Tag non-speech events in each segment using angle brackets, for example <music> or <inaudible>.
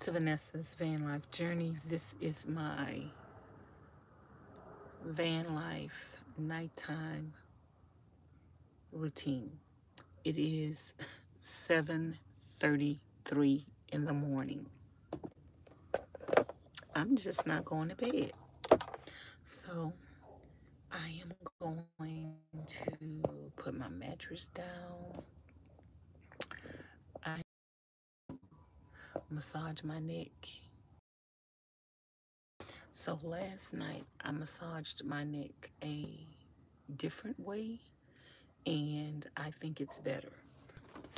to Vanessa's Van Life Journey. This is my van life nighttime routine. It is 7.33 in the morning. I'm just not going to bed. So I am going to put my mattress down I massage my neck. So last night I massaged my neck a different way and I think it's better.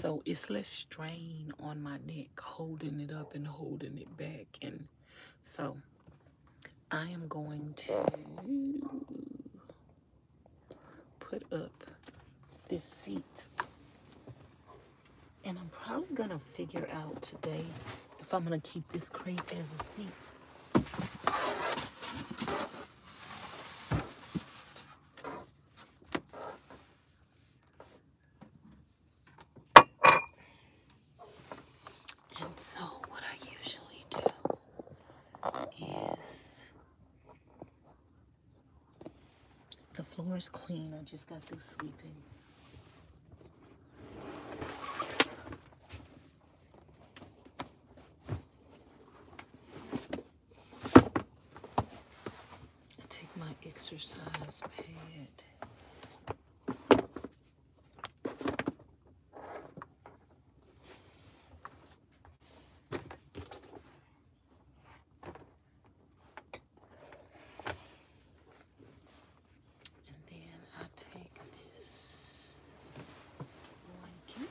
So it's less strain on my neck, holding it up and holding it back. And so I am going to put up this seat. And I'm probably going to figure out today if I'm going to keep this crate as a seat. is the floor is clean. I just got through sweeping. take my exercise pad. And then I take this blanket.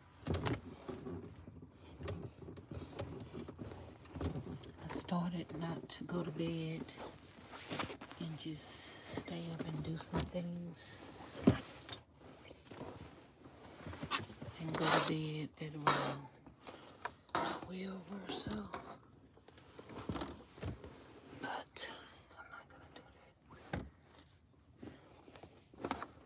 I started not to go to bed and just stay up and do some things and go to bed at around 12 or so. But I'm not going to do that.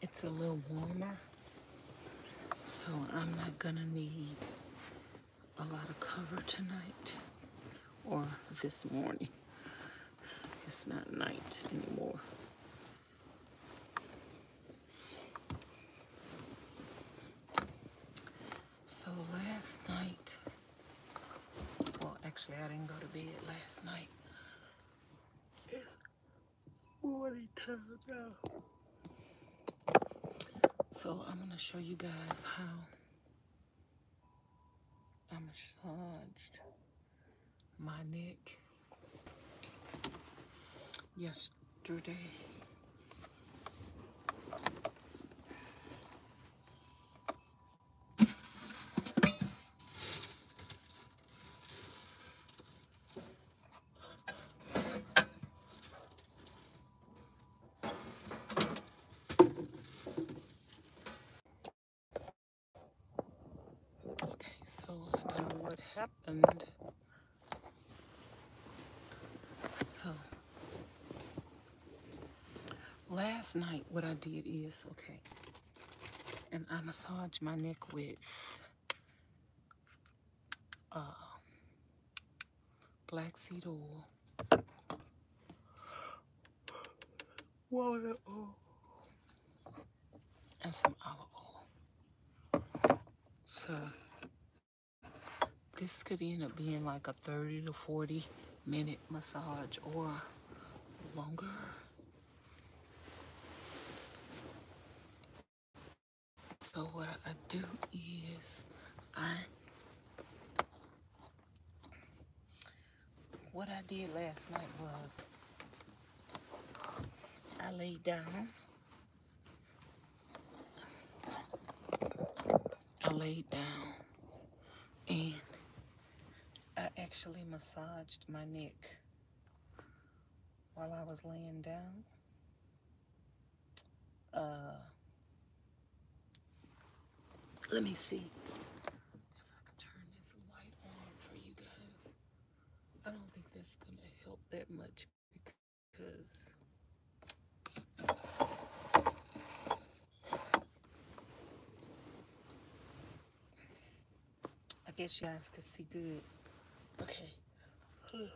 It's a little warmer, so I'm not gonna need a lot of cover tonight or this morning. It's not night anymore. So last night, well, actually, I didn't go to bed last night. It's morning time now. So I'm gonna show you guys how I massaged my neck yesterday. Okay, so what happened. So, last night what I did is, okay, and I massage my neck with black uh, seed oil, walnut oil, and some olive oil. So this could end up being like a 30 to 40 minute massage or longer so what I do is I what I did last night was I laid down. I laid down and I actually massaged my neck while I was laying down. Uh, let me see if I can turn this light on for you guys. I don't think that's going to help that much because... I guess you guys can see good. Okay.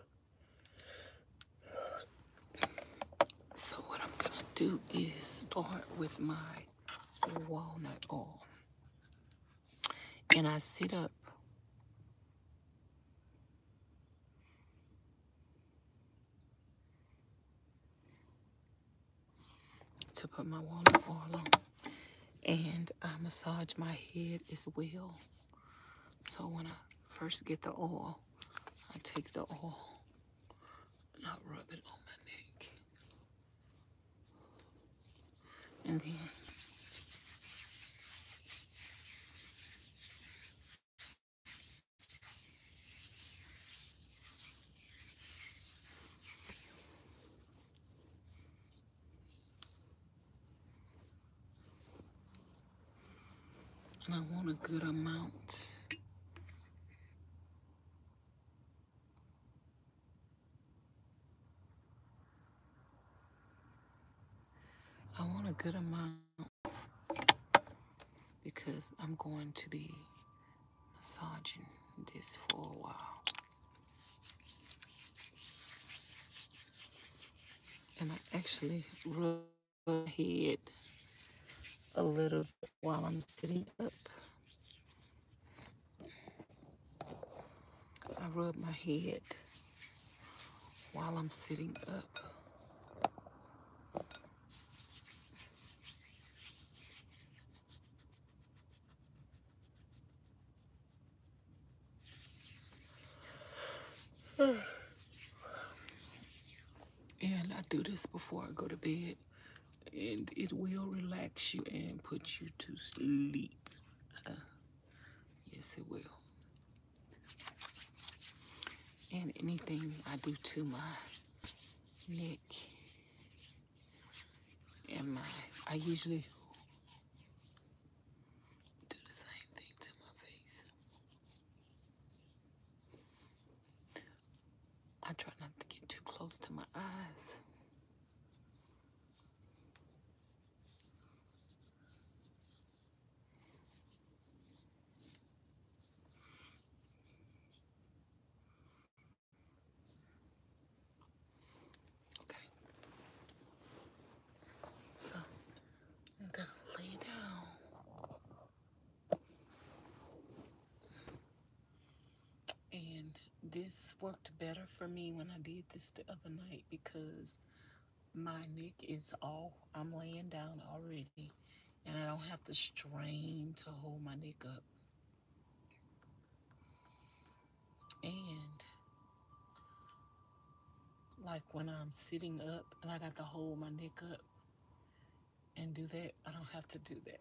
So what I'm gonna do is start with my walnut oil. And I sit up to put my water oil on. And I massage my head as well. So when I first get the oil, I take the oil and I rub it on my neck. And then and I want a good amount. I want a good amount because I'm going to be massaging this for a while. And I actually rub my head a little while I'm sitting up. I rub my head while I'm sitting up and I do this before I go to bed, and it will relax you and put you to sleep. Uh, yes, it will. And anything I do to my neck and my, I usually do the same thing to my face. I try not to get too close to my eyes. Okay. So I'm gonna lay down. And this worked better for me when I did this the other night because my neck is all I'm laying down already and I don't have to strain to hold my neck up. And like when I'm sitting up and I got to hold my neck up and do that, I don't have to do that.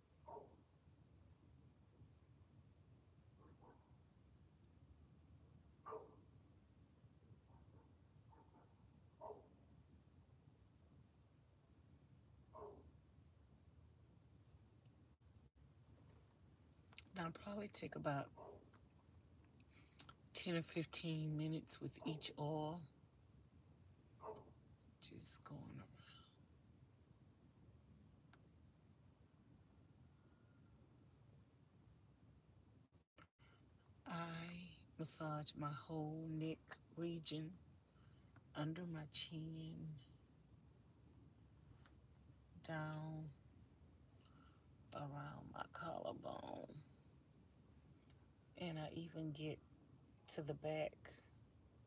That'll probably take about 10 or 15 minutes with each oil just going around. I massage my whole neck region under my chin, down around my collarbone, and I even get to the back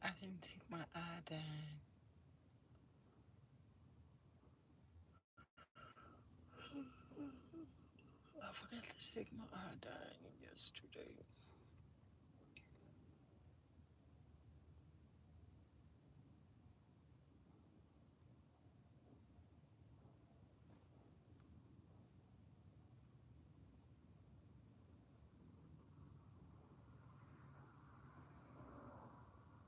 I didn't take my down. I forgot to take my eye dyeing yesterday.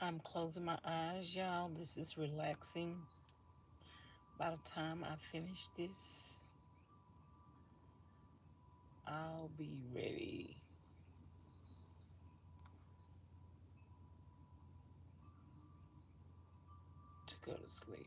I'm closing my eyes, y'all. This is relaxing. By the time I finish this, I'll be ready. to go to sleep.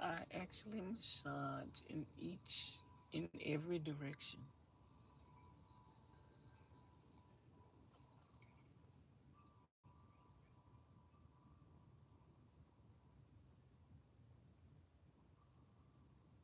I actually massage in each, in every direction.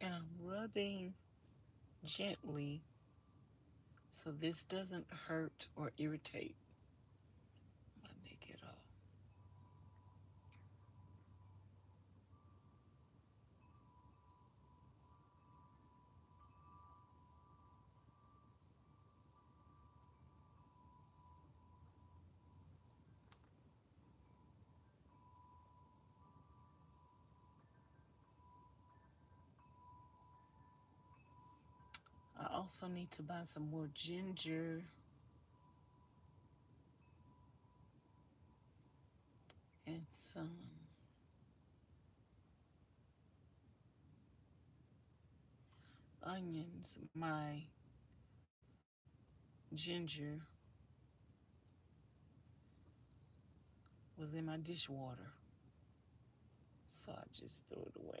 and I'm rubbing gently so this doesn't hurt or irritate. Let me get a. I also need to buy some more ginger. And some onions. My ginger was in my dishwater. So I just threw it away.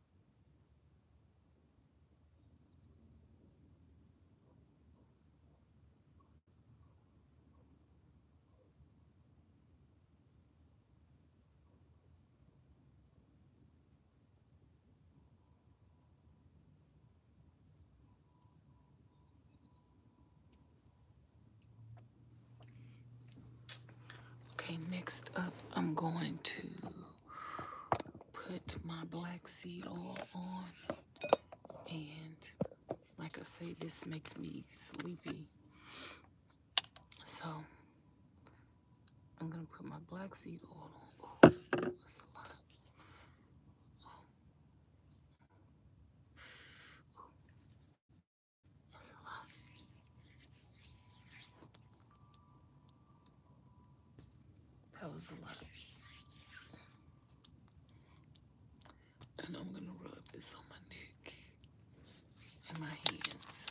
Okay, next up, I'm going to put my black seed oil on. And like I say, this makes me sleepy. So I'm going to put my black seed oil on. That's a lot. That was a lot. And I'm going to rub this on my neck and my hands.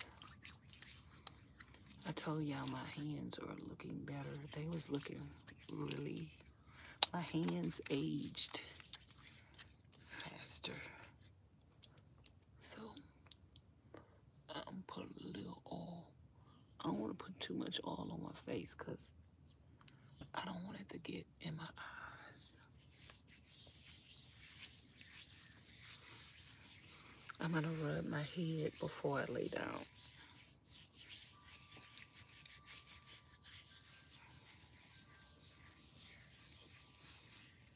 I told y'all my hands are looking better. They was looking really, my hands aged faster. So I'm put a little oil. I don't want to put too much oil on my face because I don't want it to get in my eyes. I'm going to rub my head before I lay down.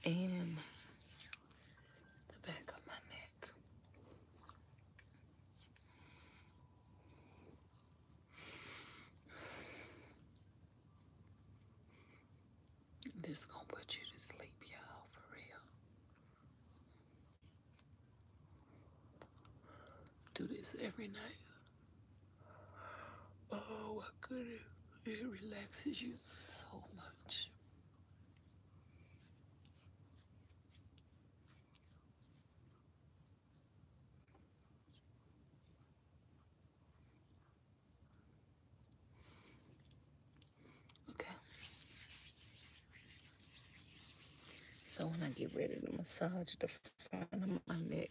And the back of my neck. This gonna put you to sleep, y'all, for real. Do this every night. Oh, it relaxes you so much. Okay. So when I get ready to massage the front of my neck,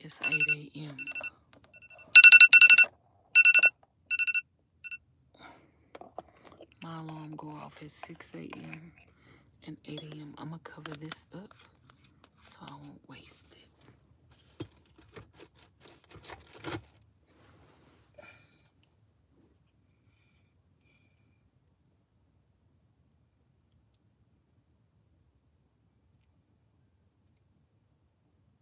It's 8 a.m. My alarm go off at 6 a.m. and 8 a.m. I'm going to cover this up so I won't waste it.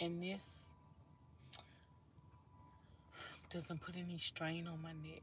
And this doesn't put any strain on my neck.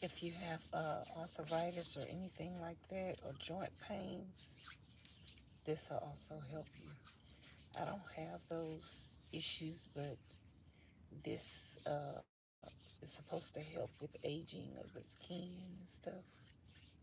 If you have uh, arthritis or anything like that, or joint pains, this will also help you. I don't have those issues, but this uh, is supposed to help with aging of the skin and stuff.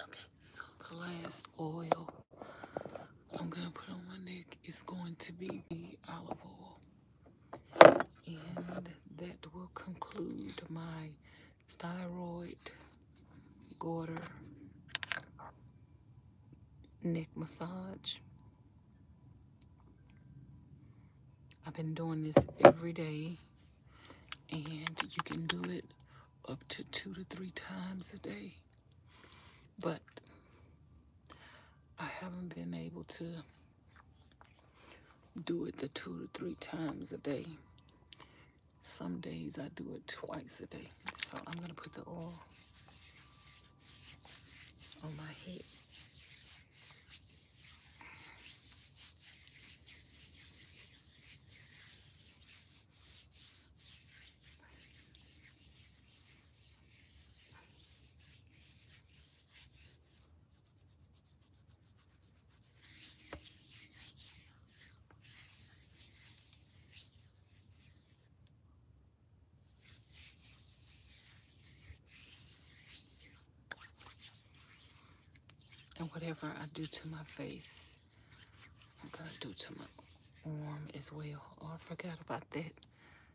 Okay, so the last oil I'm gonna put on my neck is going to be the olive oil, and that will conclude my thyroid, garter, neck massage. I've been doing this every day and you can do it up to two to three times a day. But I haven't been able to do it the two to three times a day some days I do it twice a day. So I'm going to put the oil on my head. And whatever I do to my face, I'm going to do to my arm as well. Oh, I forgot about that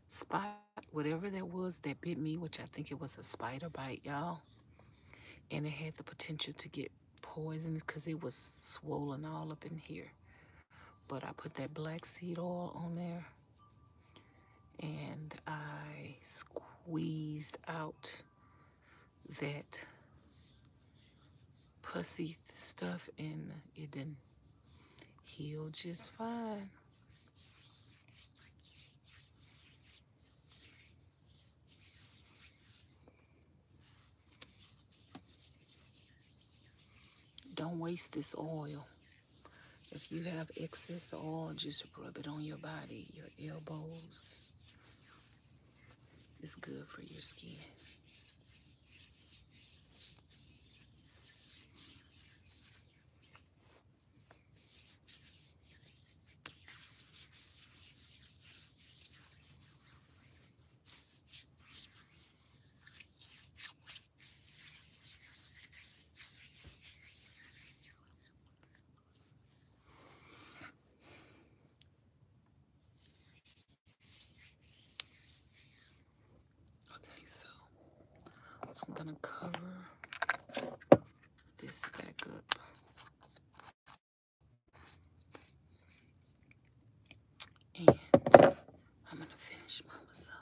spot, whatever that was that bit me, which I think it was a spider bite, y'all. And it had the potential to get poison because it was swollen all up in here. But I put that black seed oil on there and I squeezed out that pussy stuff and it didn't heal just fine. Don't waste this oil. If you have excess oil, just rub it on your body, your elbows. It's good for your skin. Okay, so I'm gonna cover this back up and I'm going to finish my massage.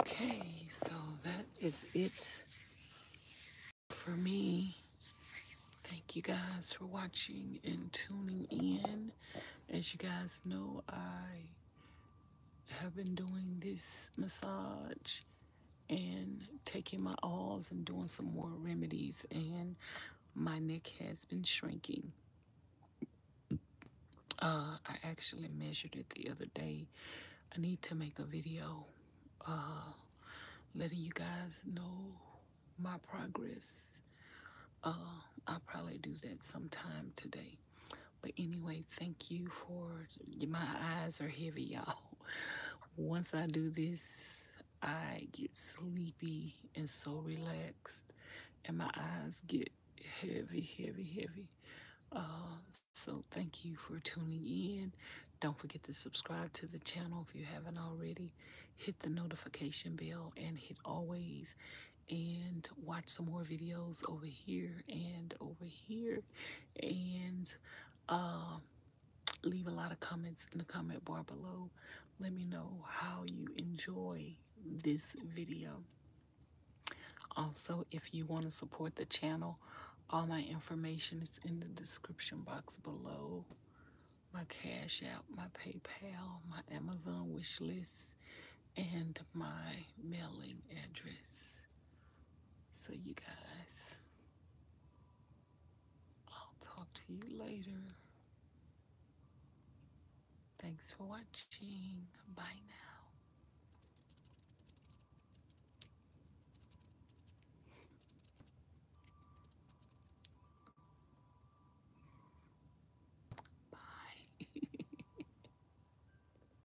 Okay, so that is it for me. Thank you guys for watching and tuning in. As you guys know, I have been doing this massage and taking my alls and doing some more remedies and my neck has been shrinking uh, I actually measured it the other day I need to make a video uh, letting you guys know my progress uh, I'll probably do that sometime today but anyway, thank you for my eyes are heavy, <laughs> y'all. Once I do this, I get sleepy and so relaxed, and my eyes get heavy, heavy, heavy. Um, so thank you for tuning in. Don't forget to subscribe to the channel if you haven't already. Hit the notification bell and hit always and watch some more videos over here and over here and um, leave a lot of comments in the comment bar below. Let me know how you enjoy this video. Also, if you want to support the channel, all my information is in the description box below. My Cash App, my PayPal, my Amazon wish list, and my mailing address. So, you guys, I'll talk to you later. Thanks for watching. Bye now. <laughs> Bye. <laughs>